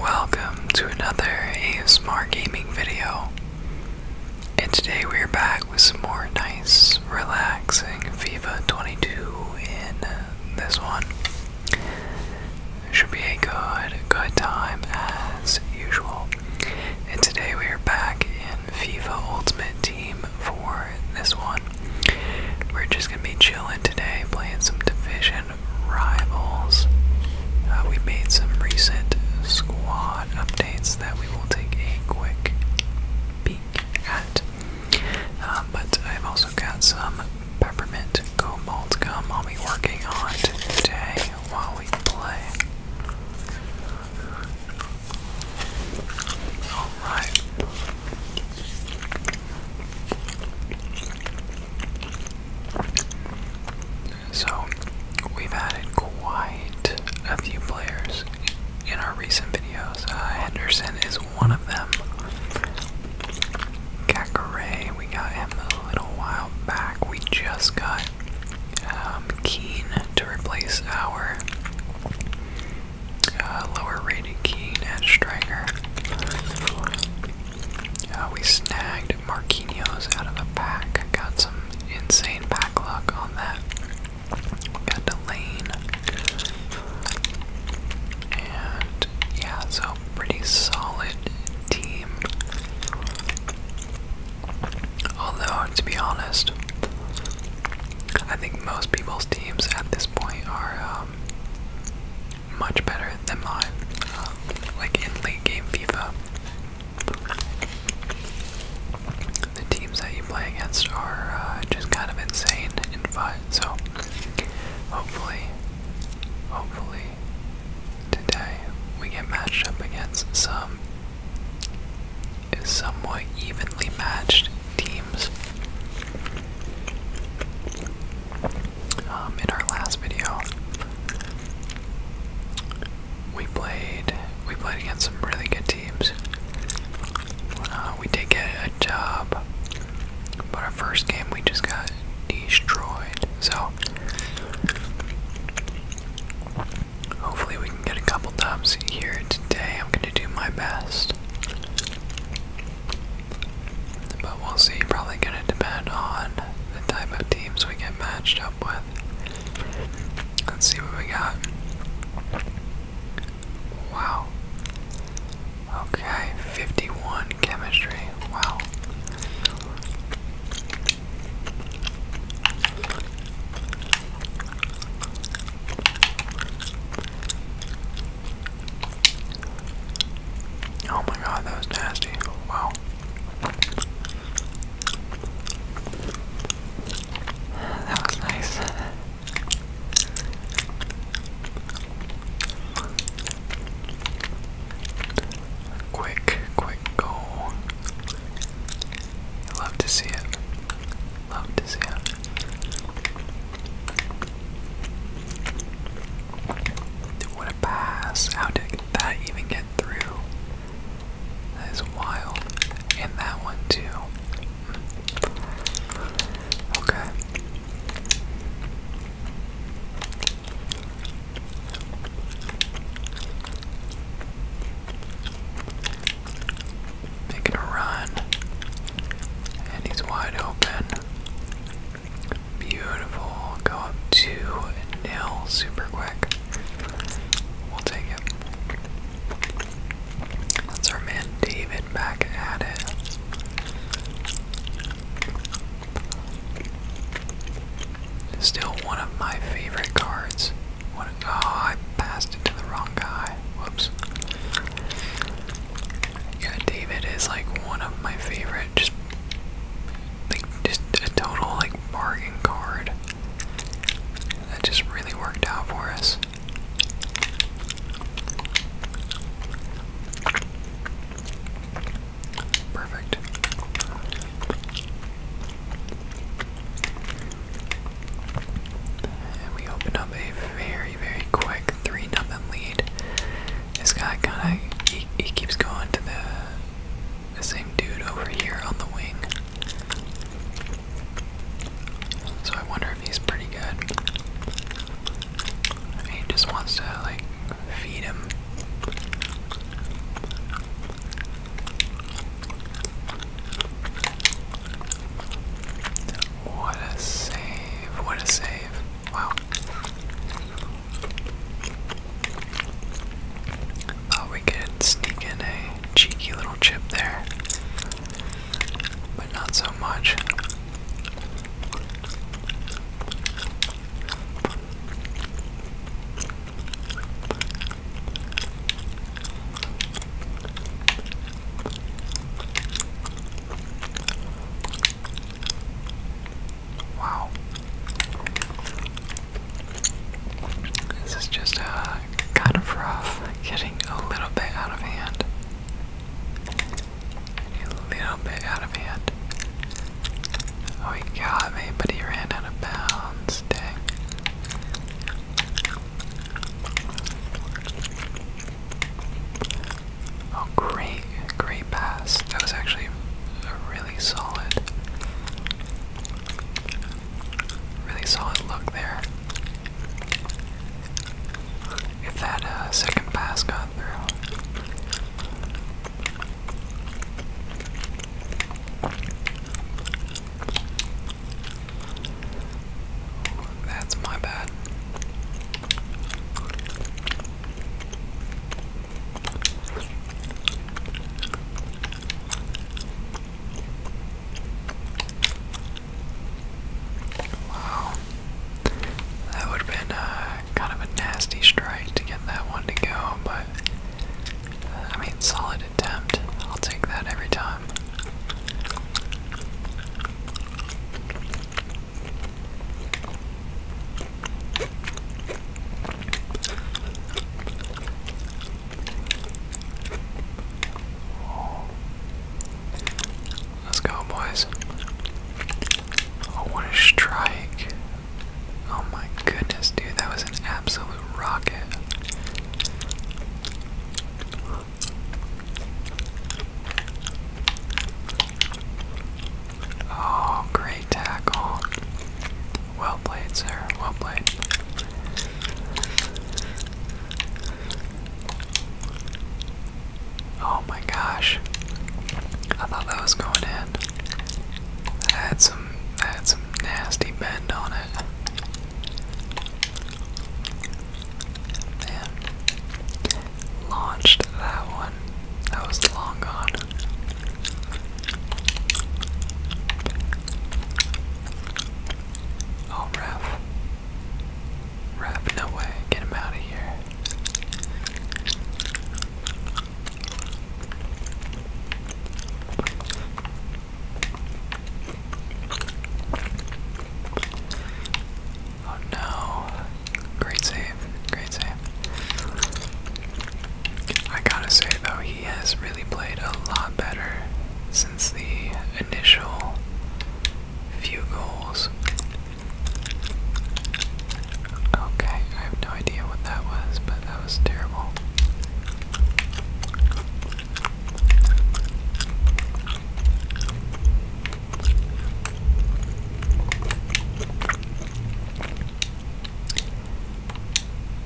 Welcome to another ASMR gaming video. And today we're back with some more nice, relaxing FIFA 22 in this one. Should be a good, good time as usual. And today we are back in FIFA Ultimate Team for this one. We're just gonna be chilling today, playing some division rivals. Uh, we made some recent squad updates that we will take a quick peek at. Um, but I've also got some peppermint cobalt gum I'll be working on today while we play. Alright. So, we've added quite a few players in our recent videos. Uh, Henderson is one of them. Kakare, we got him a little while back. We just got um, Keen to replace our uh, lower rated Keane striker. Uh, we snagged Marquinhos out of the pack. Got some insane back luck on that. got Delane. And yeah, so pretty solid team. Although, to be honest, I think most people's teams at this point are um, much better than mine, um, like in late game FIFA. The teams that you play against are uh, just kind of insane in fun, so hopefully, hopefully, today we get matched up against some somewhat evenly matched teams. Um, in our last video, we played. We played against some really good teams. Uh, we did get a job, but our first game we just got destroyed. So hopefully we can get a couple dubs here today. I'm gonna do my best. But we'll see. Probably going to depend on the type of teams we get matched up with. Let's see what we got. Wow. Okay, 51 chemistry. Wow. Oh my god, that was nasty. Wow. That was nice. quick, quick goal. Love to see it. Love to see it. What a pass. How did that even get through? That is wild. And that one too. Okay making a run. And he's wide open. Beautiful. Go up 2 nil super quick. We'll take it. That's our man David back at it. Still one of my favorite cards. oh, I passed it to the wrong guy. Whoops. Yeah, David is like one of my favorite. Just like just a total like bargain card. That just really worked out for us. Perfect. And we open up a very, very quick 3 nothing lead. This guy kind of, he, he keeps going to the, the same dude over here on the wing. So I wonder if he's pretty good. He just wants to, like, feed him. What a save. What a save. Wow. Thought oh, we could sneak in a cheeky little chip there. But not so much. Wow. This is just uh, kind of rough, getting a little bit out of hand. A little bit out of hand. Oh, he got me, but he ran out of bounds. Dang. Oh, great, great pass. That was actually a really solid, really solid look there. If that uh, second pass got through. That's my bad. Wow. That would have been uh, kind of a nasty strike to get that one to go, but uh, I mean, solid attempt. I'll take that every time. Let's go, boys. Oh, what a strike! Oh my goodness, dude, that was an absolute rocket. Oh, great tackle. Well played, sir. Well played. Oh my gosh. I thought that was going in. That had some that had some nasty bend on it. Man. Launched that one. That was long gone. Oh, ref. Ref, no way. Get him out of here. Oh no. Great save. Great save. I gotta say though, he has really played a lot better since the initial few goals. Okay, I have no idea what that was, but that was terrible.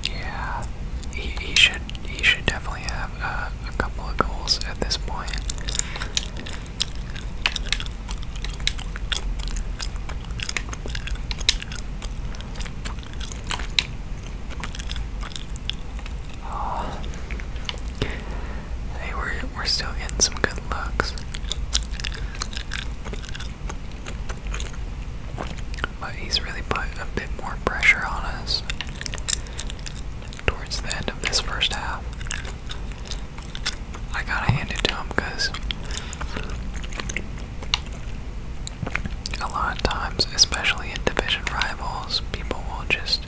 Yeah, he, he should he should definitely have uh, a couple of goals at this point. Oh. Hey, we're, we're still getting some good looks. But he's really put a bit more pressure on us towards the end of this first half. I gotta hand it to him because a lot of times, especially in division rivals, people will just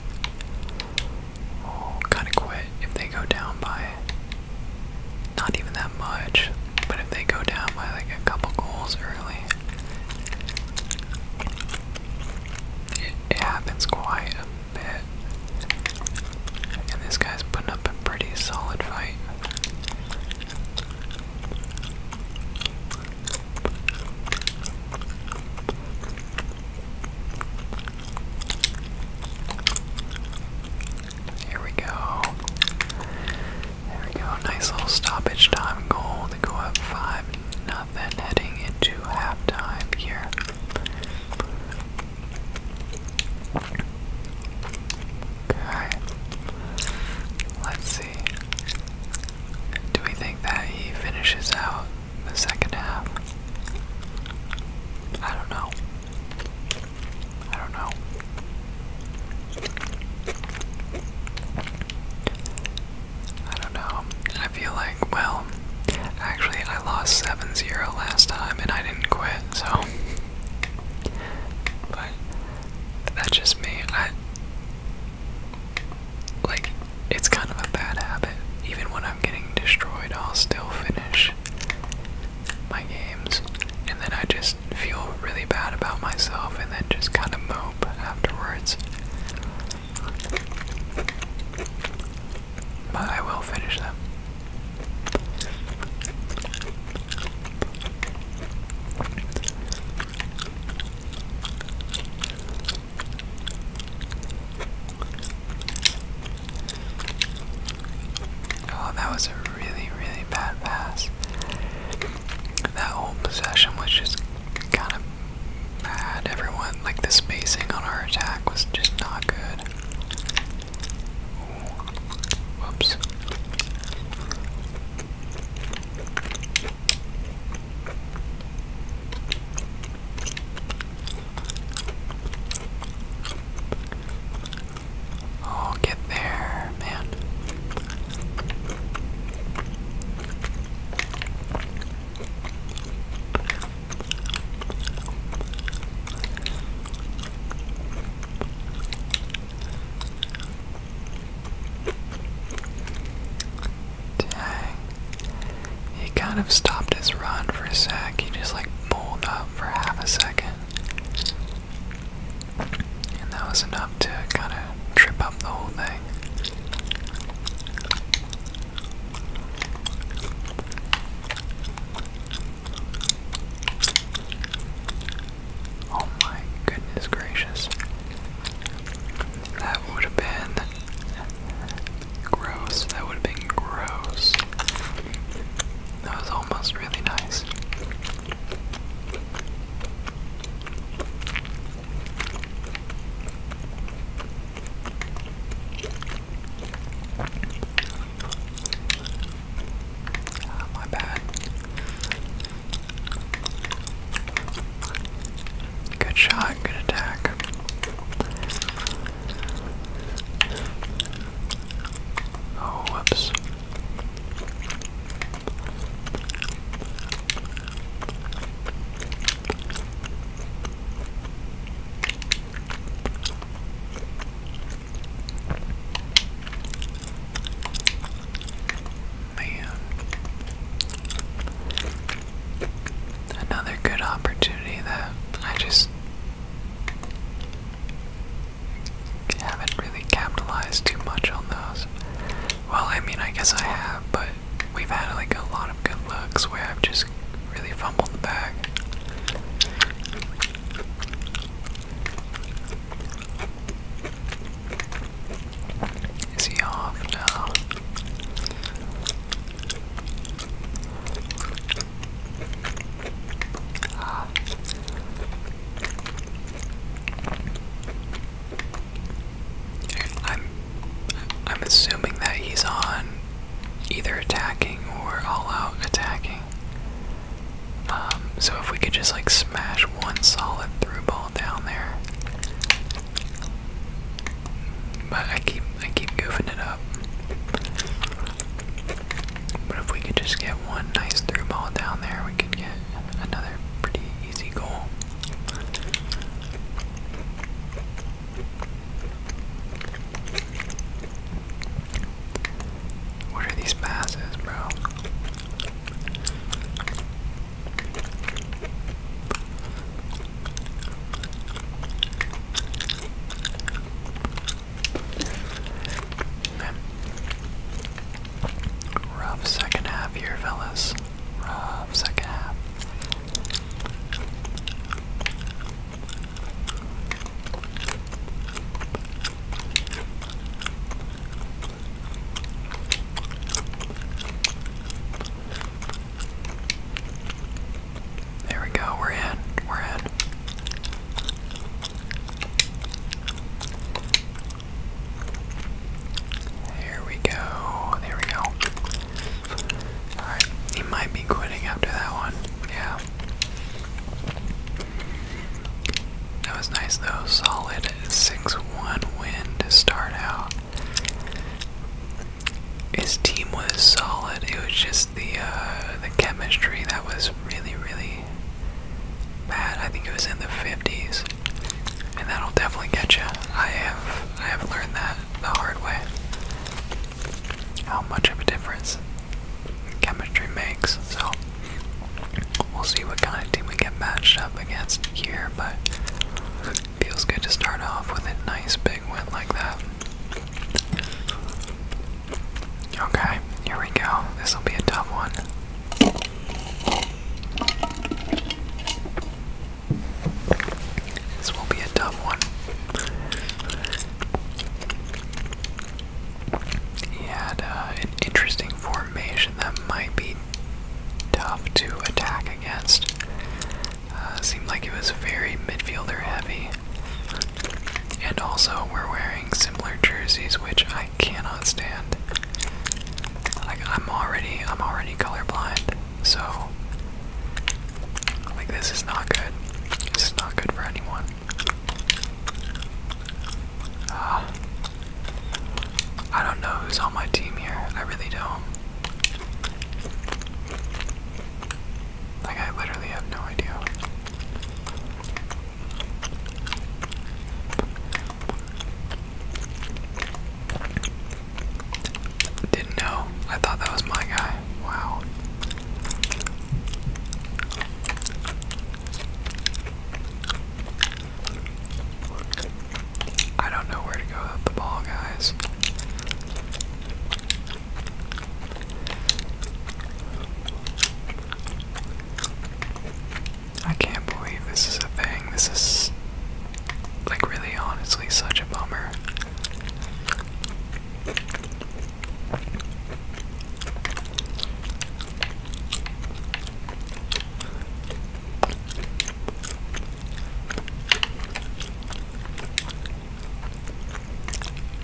kind of quit if they go down by not even that much, but if they go down by like a couple goals early, it happens quite a bit. And this guy's putting up a pretty solid fight. Here we go. There we go. Nice little stoppage time goal to go up five nothing heading into halftime here. Okay. Let's see. Do we think that he finishes out the second half? I don't know. I don't know. I don't know. I feel like, well, actually, I lost 7 0 last time and I didn't quit, so. But that's just me. I, like, it's kind of a bad habit. Even when I'm getting destroyed, I'll still finish my games. And then I just feel really bad about myself and then just kind of mope afterwards. But I will finish them. Oh, that was a really, really bad pass. That whole possession was just kind of bad. Everyone, like the spacing on our attack was just not good. Ooh. Oh, get there, man. Dang. He kind of stopped his run for a sec. He just like pulled up for half a second. And that was enough to kind of trip up the whole thing. Oh my goodness gracious. That would have been gross. That would have been gross. That was almost really nice. Oh, my bad. Good shot, good attack. Oh, whoops man. Another good opportunity that I just haven't really capitalized too much on those. Well, I mean, I guess I have, but we've had like a lot of good looks where I've just really fumbled the bag. Is he off now? Ah. I'm I'm assuming that he's on either attacking or all out attacking. Um, so if we could just like smash one solid through ball down there. But I keep I keep goofing it up. But if we could just get one nice through ball down there, we could get another pretty easy goal. What are these passes, bro? Rough second half here, fellas. Rough second half. There we go, we're in, we're in. There we go, there we go. Alright, he might be quitting after that one, yeah. That was nice though, solid. 6 1 win to start out. His team was solid. It was just the uh, the chemistry that was really, really bad. I think it was in the 50s, and that'll definitely get you. I have I have learned that the hard way. How much of a difference chemistry makes. So We'll see what kind of team we get matched up against here, but feels good to start off with a nice big win like that. Okay, here we go. This will be a tough one. This will be a tough one. He had uh, an interesting formation that might be to attack against. Uh, seemed like it was very midfielder heavy. And also, we're wearing similar jerseys, which I cannot stand. Like I'm already, I'm already colorblind, so like this is not good. This is not good for anyone. Ah. I don't know who's on my team here. I really don't. Like, I literally have no idea. Didn't know. I thought that was my guy. Wow. I don't know where to go with the ball, guys. I can't believe this is a thing. This is, like, really honestly such a bummer.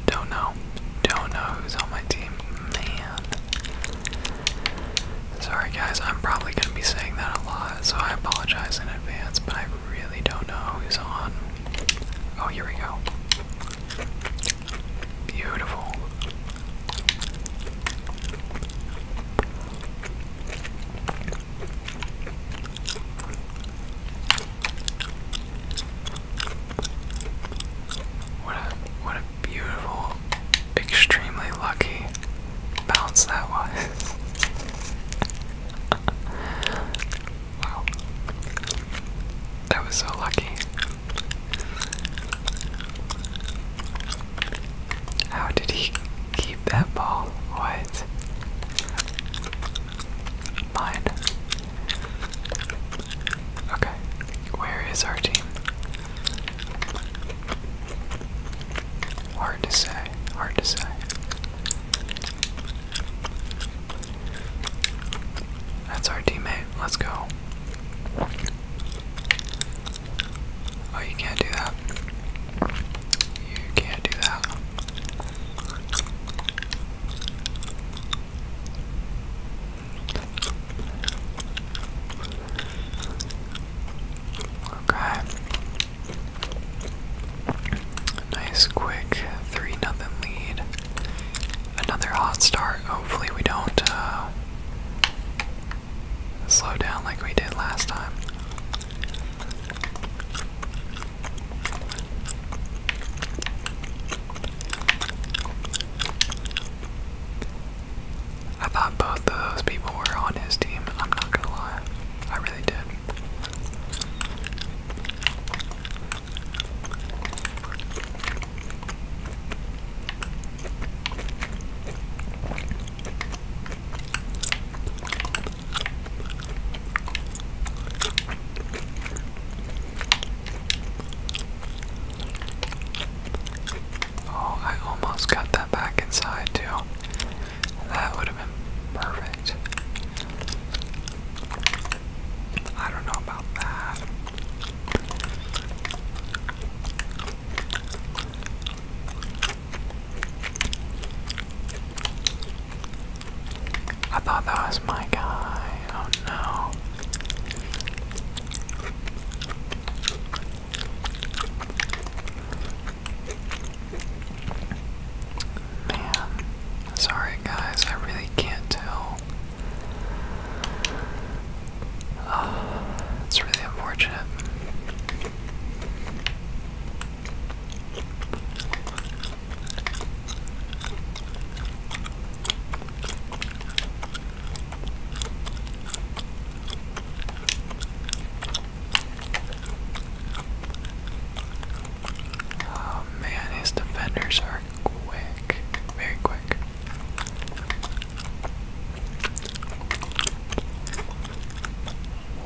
Don't know. Don't know who's on my team. Man. Sorry, guys. I'm probably going to be saying that a lot, so I apologize in advance, but I really don't know who's on. Oh, here we go. Beautiful. What a what a beautiful, extremely lucky bounce that was. wow. That was so lucky. How did he keep that ball? What? Mine. Okay, where is our team? Hard to say, hard to say. That's our teammate. Let's go. Oh, you can't do that. You can't do that. Okay. Nice quick 3 nothing lead another hot start. Hopefully, we don't uh, slow down like we did last time. I thought both of those people were on his team, I'm not gonna lie. I really did. Oh, I almost got that back inside too. That would have been perfect. I don't know about that. I thought that was my guy. Oh no. Man, sorry guys, I really can't tell Oh, it's really unfortunate. Oh man, his defenders are quick, very quick.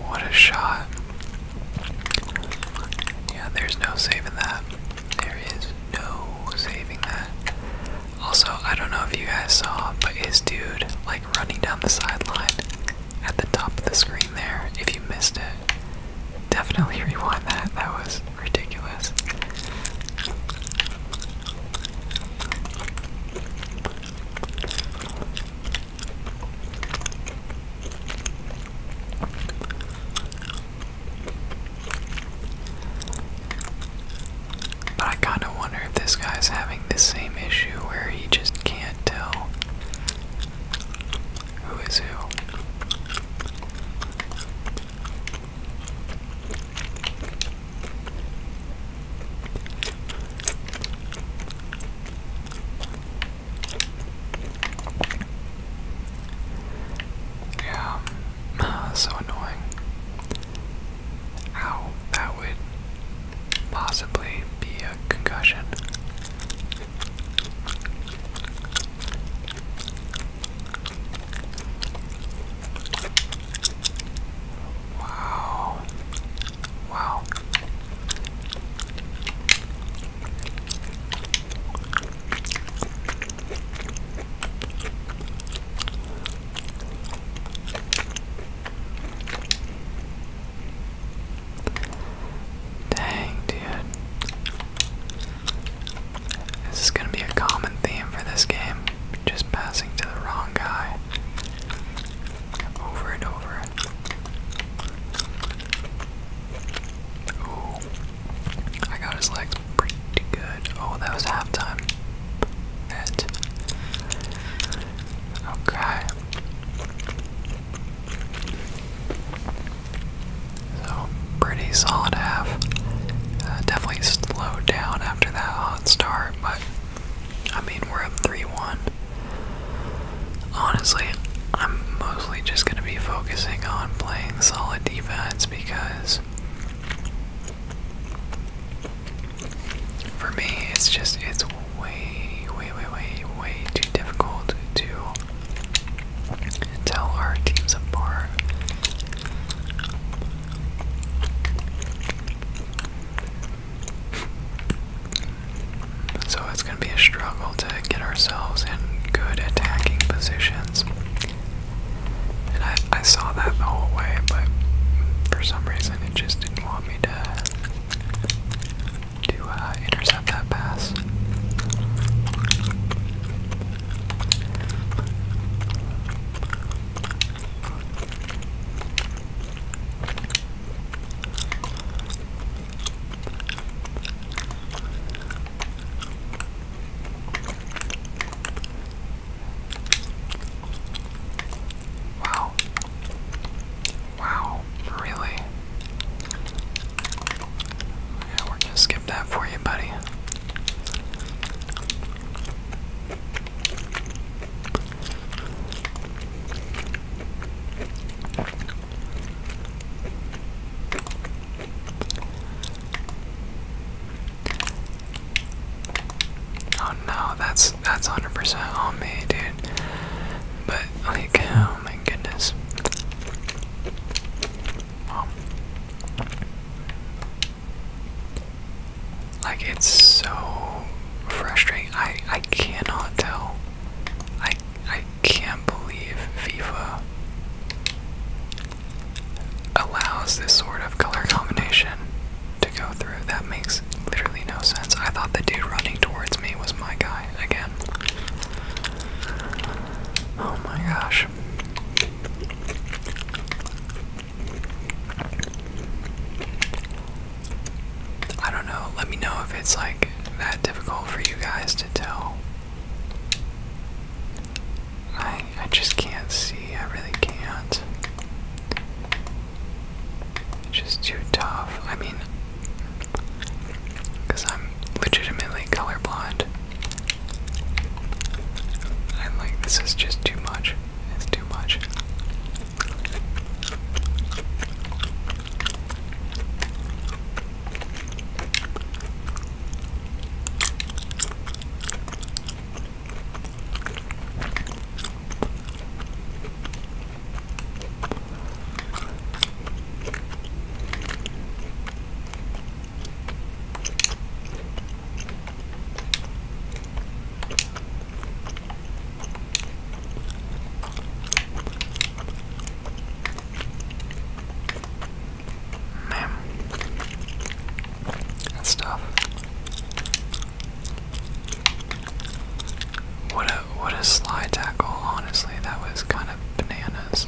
What a shot. Yeah, there's no saving that. There is no saving that. Also, I don't know if you guys saw, but his dude, like, running down the sideline at the top of the screen there, if you missed it, definitely rewind that. That was ridiculous. But I kind of wonder if this guy's having the same issue where he just can't tell who is who. Yeah, ah, so annoying. Ow, that would possibly be a concussion. Wow. Wow. Dang, dude. This is going to be a common theme for this game. Just passing to the wrong guy. Over and over. Ooh. I got his legs pretty good. Oh, that was halftime. It. Okay. So, pretty solid half. Uh, definitely slowed down after that hot start, but I mean, we're up 3 1. Honestly, I'm mostly just going to be focusing on playing solid defense because for me, it's just, it's way, way, way, way, way too difficult to tell our teams apart. So it's going to be a struggle to get ourselves in good attacking positions. And I, I saw that the whole way, but for some reason it just didn't want me to to uh, intercept that pass. Wow. Wow, really? Yeah, we're gonna skip that for you, buddy. Oh no, that's that's 100% on me, dude. But like, oh my goodness like it's so frustrating. I I cannot tell. I I can't believe FIFA allows this sort of color combination to go through. That makes literally no sense. I thought the dude running towards me was my guy again. Oh my gosh. I don't know. Let me know if it's like that difficult for you guys to tell. I I just can't see. I really can't. It's just too tough. I mean, because I'm legitimately colorblind i like, this is just too much. It's too much. Man, that's tough. What a what a slide tackle! Honestly, that was kind of bananas.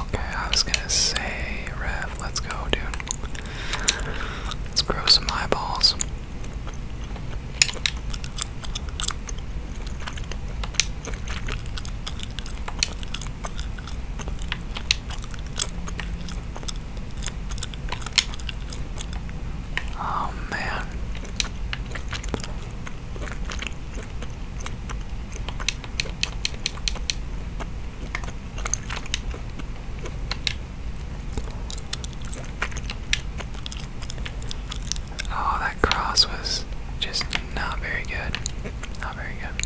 Okay, I was gonna say, Rev, let's go, dude. Let's grow some eyeballs. Oh man. Oh, that cross was just not very good. Not very good.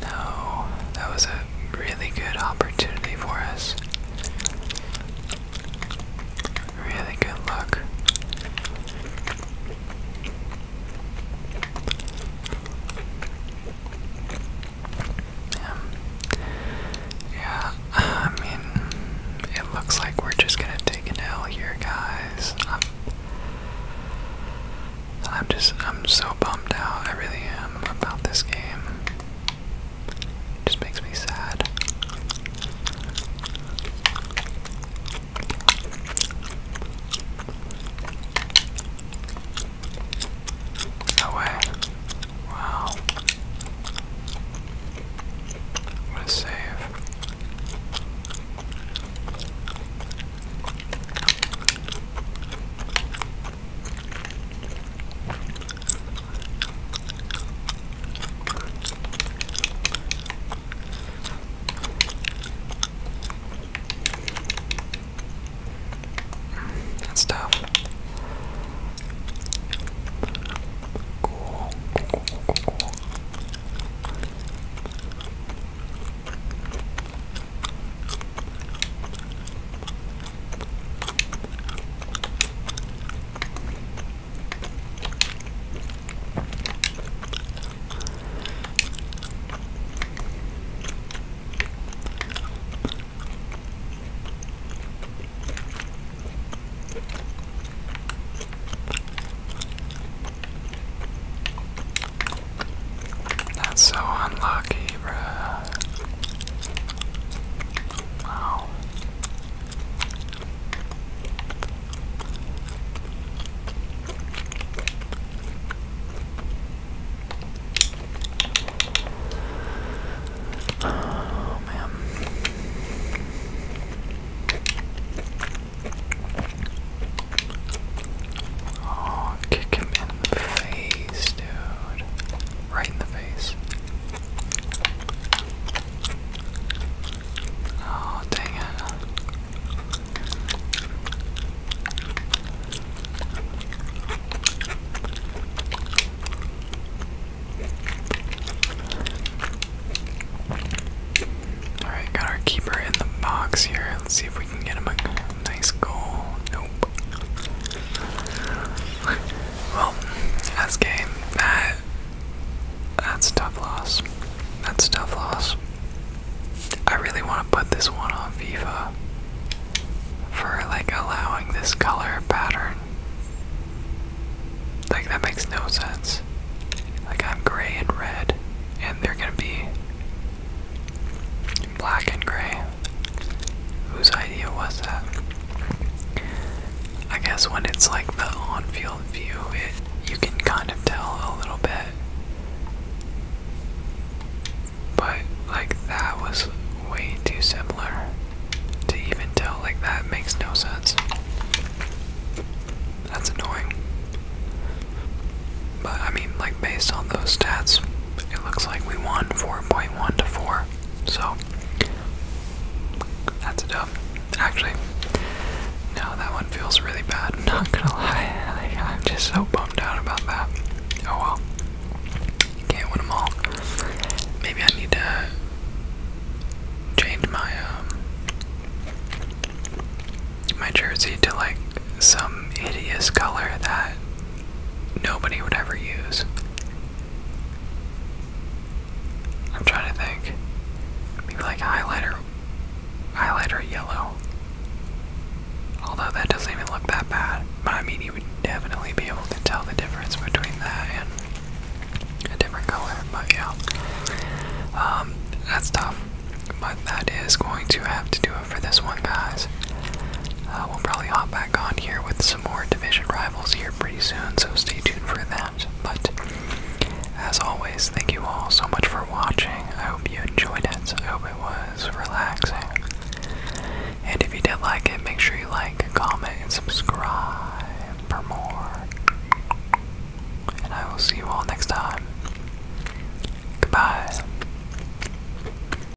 No, that was a really good opportunity for us. Really good luck. Yeah. I mean, it looks like we're just gonna take an L here, guys. I'm just, I'm so bummed out. I really am about this game. It just makes me sad. No way. Wow. What a save. That's tough. Cool. Cool, cool, cool, cool. That's so unlucky, bruh. Oh man. Oh, kick him in the face, dude right in the face. Oh, dang it. Alright, got our keeper in the box here. Let's see if we can get him a nice goal. Nope. Well, that's game. That, that's a tough loss. That's a tough loss. I really want to put this one on FIFA for like allowing this color pattern. Like that makes no sense. Like I'm gray and red, and they're gonna be black and gray. Whose idea was that? I guess when it's like the on-field view, it you can kind of tell a little bit. But like that was way too similar to even tell. Like that makes no sense. That's annoying. But I mean, like based on those stats, it looks like we won 4.1 to 4. So that's a dub. Actually, no, that one feels really bad. I'm not gonna lie, I'm just so bummed out about that. Oh well, can't win them all. Maybe I need to change my um, my jersey to like some hideous color that nobody would ever use. I'm trying to think. Maybe like highlighter, highlighter yellow. Although that doesn't even look that bad, I mean you would definitely be able to tell the difference between that and a different color. But yeah, um, that's tough. But that is going to have to do for this one, guys. Uh, we'll probably hop back on here with some more division rivals here pretty soon, so stay tuned for that. But as always, thank you all so much for watching. I hope you enjoyed it. I hope it was relaxing. And if you did like it, make sure you like, comment, and subscribe for more. And I will see you all next time. Goodbye.